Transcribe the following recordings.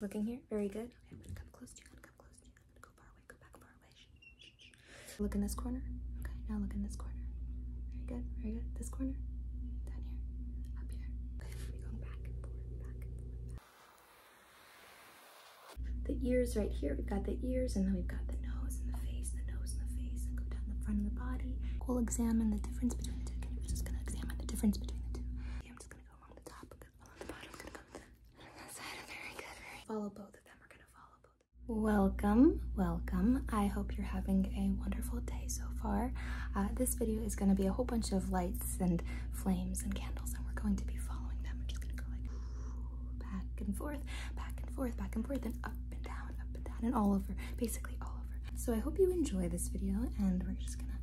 Looking here, very good. Okay, I'm gonna come close to you, I'm gonna come close to you, I'm gonna go far away, go back far away. Look in this corner. Okay, now look in this corner. Very good, very good. This corner, down here, up here. Okay, let me go back and forth, back and forth, back. The ears right here, we've got the ears, and then we've got the nose and the face, the nose and the face, and go down the front of the body. We'll examine the difference between the two. we're just gonna examine the difference between the two. I'm just gonna go along the top Follow both of them. Welcome, welcome. I hope you're having a wonderful day so far. Uh, this video is gonna be a whole bunch of lights and flames and candles, and we're going to be following them. we just gonna go like back and forth, back and forth, back and forth, and up and down, up and down, and all over, basically all over. So I hope you enjoy this video, and we're just gonna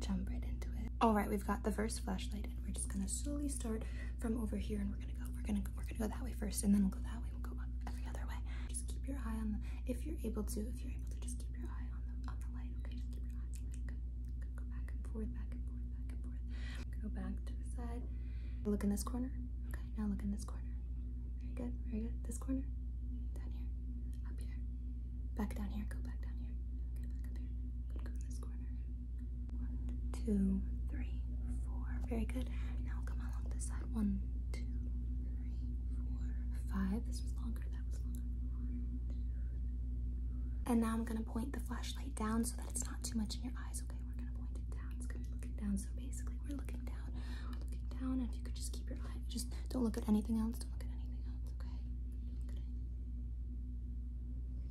jump right into it it. All right, we've got the first flashlight and we're just gonna slowly start from over here and we're gonna go, we're gonna, we're gonna go that way first and then we'll go that way, we'll go every other way. Just keep your eye on the, if you're able to, if you're able to, just keep your eye on the, on the light, okay? Just keep your eye on the light, good. good. Go back and forth, back and forth, back and forth. Go back to the side. Look in this corner, okay? Now look in this corner. Very good, very good. This corner, down here, up here, Back down here. Go back down here. Go in this corner. One, two, three, four. Very good. Now come along this side. One, two, three, four, five. This was longer. That was longer. One, two, and now I'm gonna point the flashlight down so that it's not too much in your eyes. Okay, we're gonna point it down. It's gonna be looking down. So basically, we're looking down. We're looking down. And if you could just keep your eyes just don't look at anything else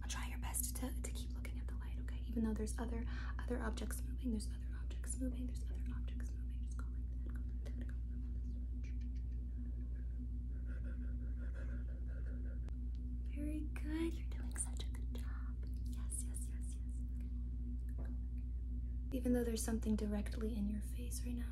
try your best to, to keep looking at the light, okay? Even though there's other other objects moving, there's other objects moving, there's other objects moving. Very good. You're doing such a good job. Yes, yes, yes, yes. Even though there's something directly in your face right now,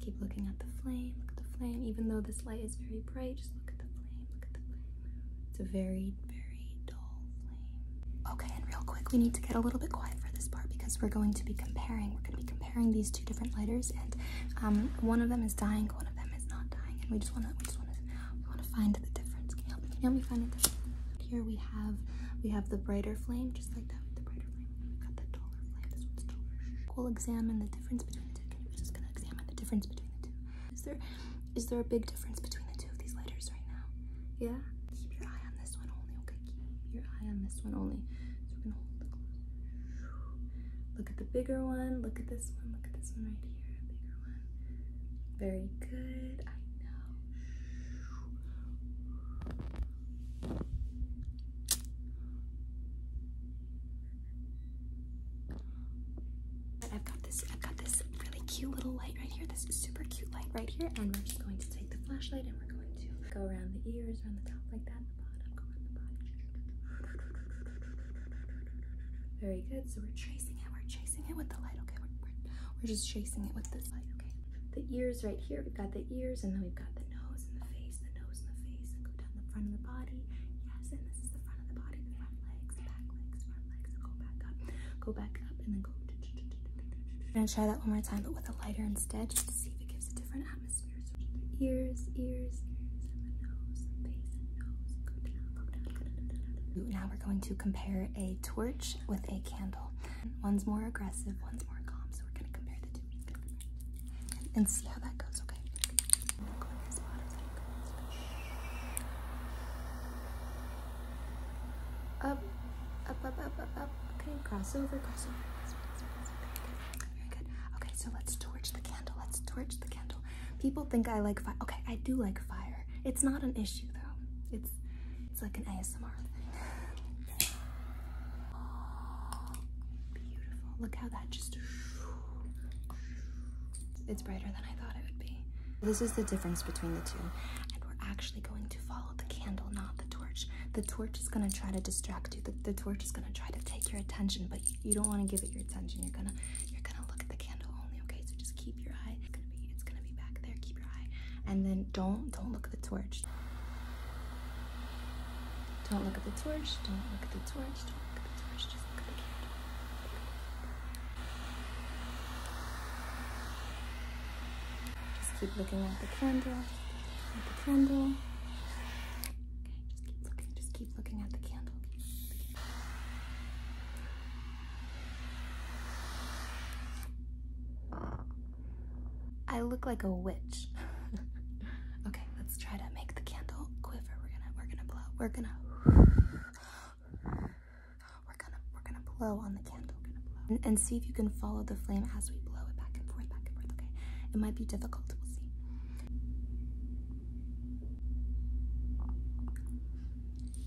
Keep looking at the flame, look at the flame. Even though this light is very bright, just look at the flame, look at the flame. It's a very, very dull flame. Okay, and real quick, we need to get a little bit quiet for this part because we're going to be comparing. We're going to be comparing these two different lighters, and um, one of them is dying, one of them is not dying, and we just want to, we just want to, we want to find the difference. Can you help me? Can you find it? difference? Here we have, we have the brighter flame, just like that with the brighter we will examine the difference between the two. we're just gonna examine the difference between the two. Is there is there a big difference between the two of these letters right now? Yeah. Keep your eye on this one only. Okay, keep your eye on this one only. So we're gonna hold the closer. Look at the bigger one. Look at this one. Look at this one right here. Bigger one. Very good. I know. I've got this, I've got this really cute little light right here, this super cute light right here, and we're just going to take the flashlight and we're going to go around the ears, around the top like that, and the bottom, go around the bottom. Very good. So we're chasing it, we're chasing it with the light, okay? We're, we're, we're just chasing it with this light, okay? The ears right here, we've got the ears, and then we've got the nose and the face, the nose and the face, and go down the front of the body. Yes, and this is the front of the body, the front legs, back legs, front legs, and go back up, go back up, and then go. I'm gonna try that one more time, but with a lighter instead, just to see if it gives a different atmosphere. So ears, ears, ears, and the nose, and face, and nose, go down, go down. Now we're going to compare a torch with a candle. One's more aggressive, one's more calm. So we're gonna compare the two and see how that goes. Okay. Up, up, up, up, up, Okay, cross over, cross over. Very good. Okay, so let's torch the candle. Let's torch the candle. People think I like fire. Okay, I do like fire. It's not an issue though. It's it's like an ASMR thing. beautiful. Look how that just. It's brighter than I thought it would be. This is the difference between the two. And we're actually going to follow the candle, not the torch. The torch is going to try to distract you. The, torch is going to try to take your attention, but you, you don't want to give it your attention. You're going to you're going to look at the candle only, okay? So just keep your eye. It's going to be it's going to be back there. Keep and then don't don't look at the torch don't look at the torch don't look at the torch don't look at the torch just just keep looking at the candle at the candle okay just keep looking just keep looking at the candle I look like a witch. okay, let's try to make the candle quiver. We're gonna we're gonna blow. We're gonna we're gonna we're gonna blow on the candle. And, see if you can follow the flame as we blow it back and forth, back and forth. Okay, it might be difficult. We'll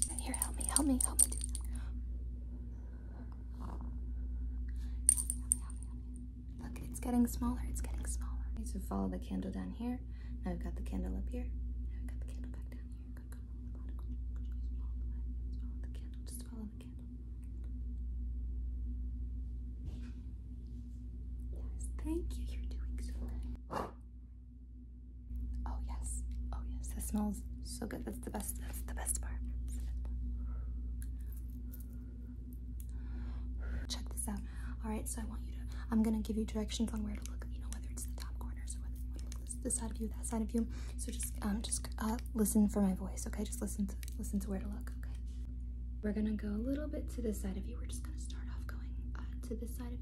see. Here, help me, help me, help me Look, it's getting smaller, it's getting smaller. Okay, so follow the candle down here. Now we've got the candle up here. Now we've got the candle back down here. Follow the candle, just follow the candle. Yes, thank you, you're doing so good. Oh yes, oh yes, that smells so good. That's the best. That's the best part. Check this out. All right, so I want you to. I'm gonna give you directions on where to look. You know, whether it's the top corner, so whether you look this, side of you, that side of you. So just, um, just uh, listen for my voice. Okay, just listen to listen to where to look. Okay. We're gonna go a little bit to this side of you. We're just gonna start off going uh, to this side of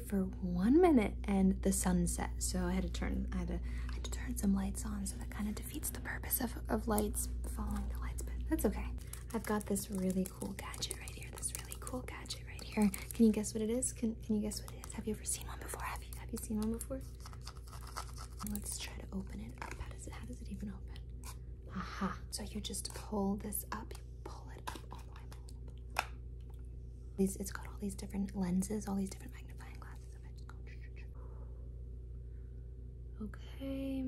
for one minute and the sun set. So I had to turn I had to, I had to turn some lights on. So that kind of defeats the purpose of, lights following the lights, but that's okay. I've got this really cool gadget right here. This really cool gadget right here. Can you guess what it is? Can you guess what it is? Have you ever seen one before? Have you seen one before? Let's try to open it up. How does it how does it even open? Aha. So you just pull this up, you pull lid up all the way. My lid up. These, it's got all these different lenses, all these different magnifying glasses. If I just go, okay.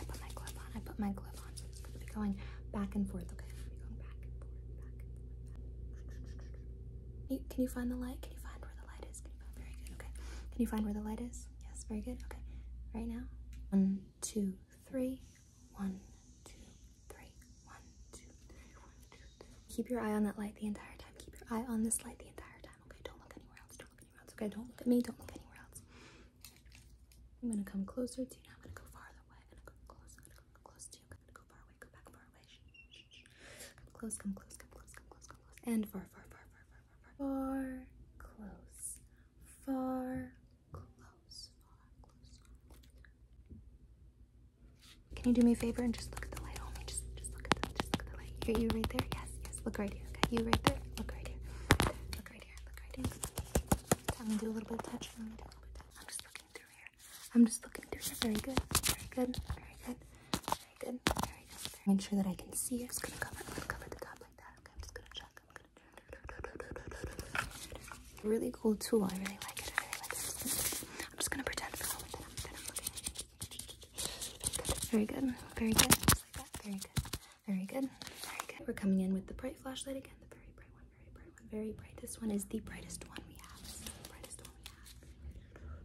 I put my glove on. I put my glove on. So it's gonna be going back and forth. Okay, I'm going back and forth, back and forth. Back. You, can you find the light? Can you find where the light is? Can you find? Very good. Okay. Can you find where the light is? Yes. Very good. Okay. Right now. One, two, three, one, two, three, one, two, three, one, two, three. Keep your eye on that light the entire time. Keep your eye on this light the entire time. Okay, don't look anywhere else. Don't look anywhere else. Okay, don't look at me. Don't look anywhere else. I'm gonna come closer to you now. I'm gonna go farther away. I'm gonna go close. I'm gonna go close to you. I'm gonna go far away. Go back far away. Shh, shh, shh. Come close. Come close. Come close. Come close. Come close. And far, far, far, far, far, far, far. Far, close, far can you do me a favor and just look at the light only? Just, just look at the, just look at the light. You're, you right there? Yes, yes. Look right here. you right there. Look right here. Look right here. Look right here. I'm gonna do a little bit of touch. I'm just looking through here. I'm just looking through here. Very good. Very good. Very good. Very good. Very good. Make sure that I can see. I'm gonna cover. i gonna cover the top like that. Okay, I'm just gonna check. I'm gonna Really cool tool. I really like it. I am just gonna pretend Very good. Very good. Very good. Very good. Very good. We're coming in with the bright flashlight again. The very bright one. Very bright Very bright. This one is the brightest one we have. is the brightest one we have.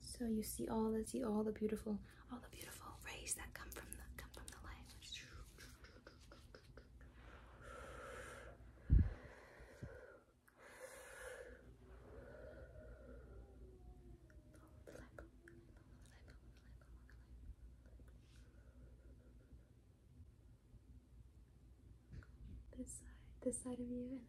So you see all the see all the beautiful all the beautiful rays that come from the come from the light. This side, this side of you,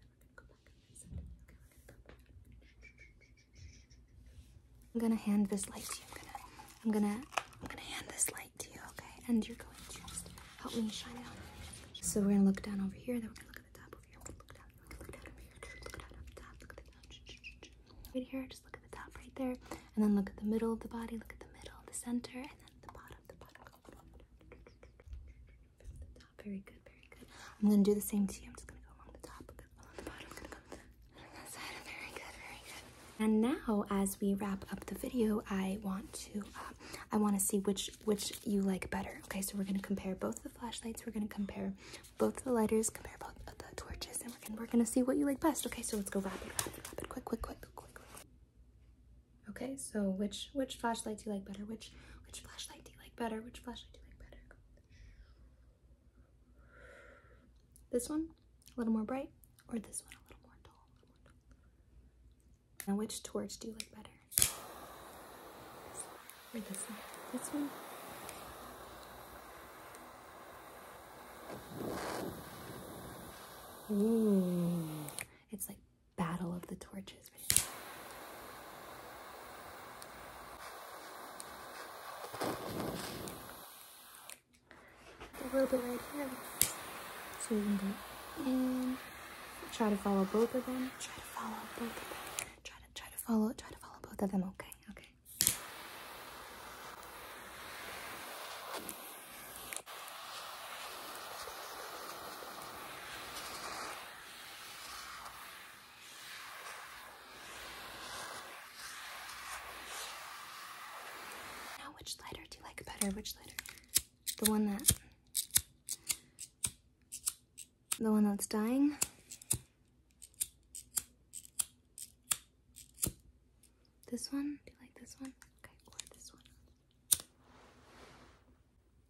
I'm gonna hand this light to you. I'm gonna, I'm gonna, I'm gonna hand this light to you, okay? And you're going to just help me shine it So we're gonna look down over here. Then we're gonna look at the top over here. Look down, look down over here. Look down up top. Look at the top. Right here. Just look at the top right there, and then look at the middle of the body. Look at the middle, the center, and then the bottom. The bottom very good, very good. I'm gonna do the same to you. I'm just gonna go along the top, along the bottom, gonna go along that side. Very good, very good. And now, as we wrap up the video, I want to, uh, I want to see which which you like better. Okay, so we're gonna compare both the flashlights. We're gonna compare both the lighters. Compare both the torches, and we're gonna we're gonna see what you like best. Okay, so let's go rapid, rapid, rapid, quick, quick, quick, quick, quick. Okay, so which which flashlight do you like better? Which which flashlight do you like better? Which flashlight do you like better? This one a little more bright, or this one a little more dull. Now, which torch do you like better? This one, or this one? This one. Ooh, it's like Battle of the Torches this A little bit right here. So we can go in. Try to follow both of them. Try to follow both of them. Try to try to follow try to follow both of them. Okay, okay. Now, which lighter do you like better? Which lighter? The one that. The one that's dying? This one? Do you like this one? Okay, or this one.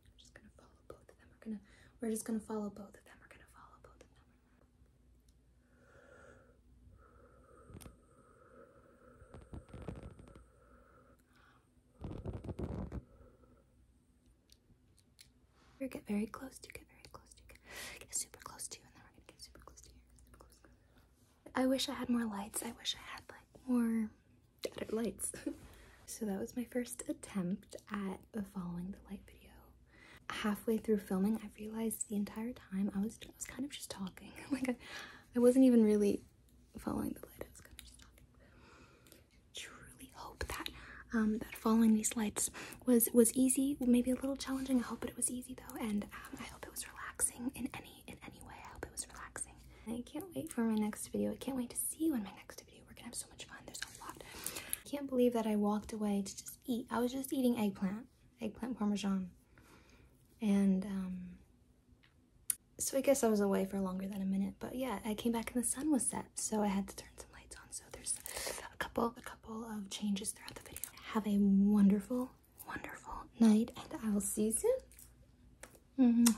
I'm just gonna follow both of them. We're gonna we're just gonna follow both of them. We're gonna follow both of them. We're get very close to get very close to get, get super close to you and then we're gonna get super close to you. Super close. I wish I had more lights. I wish I had like more dead at lights. so that was my first attempt at following the light video. Halfway through filming, I realized the entire time I was, I was kind of just talking. like I, I wasn't even really following the light. I was kind of just talking. I truly hope that um, that following these lights was was easy, maybe a little challenging. I hope it was easy though, and um, I hope it was relaxing in any in any way. I hope it was relaxing. I can't wait for my next video. I can't wait to see you in my next we're gonna have so much fun. There's a lot. I can't believe that I walked away to just eat. I was just eating eggplant, eggplant parmesan. And um, so I guess I was away for longer than a minute. But yeah, I came back and the sun was set. So I had to turn some lights on. So there's a couple, a couple of changes throughout the video. Have a wonderful, wonderful night. And I will see you soon. Mm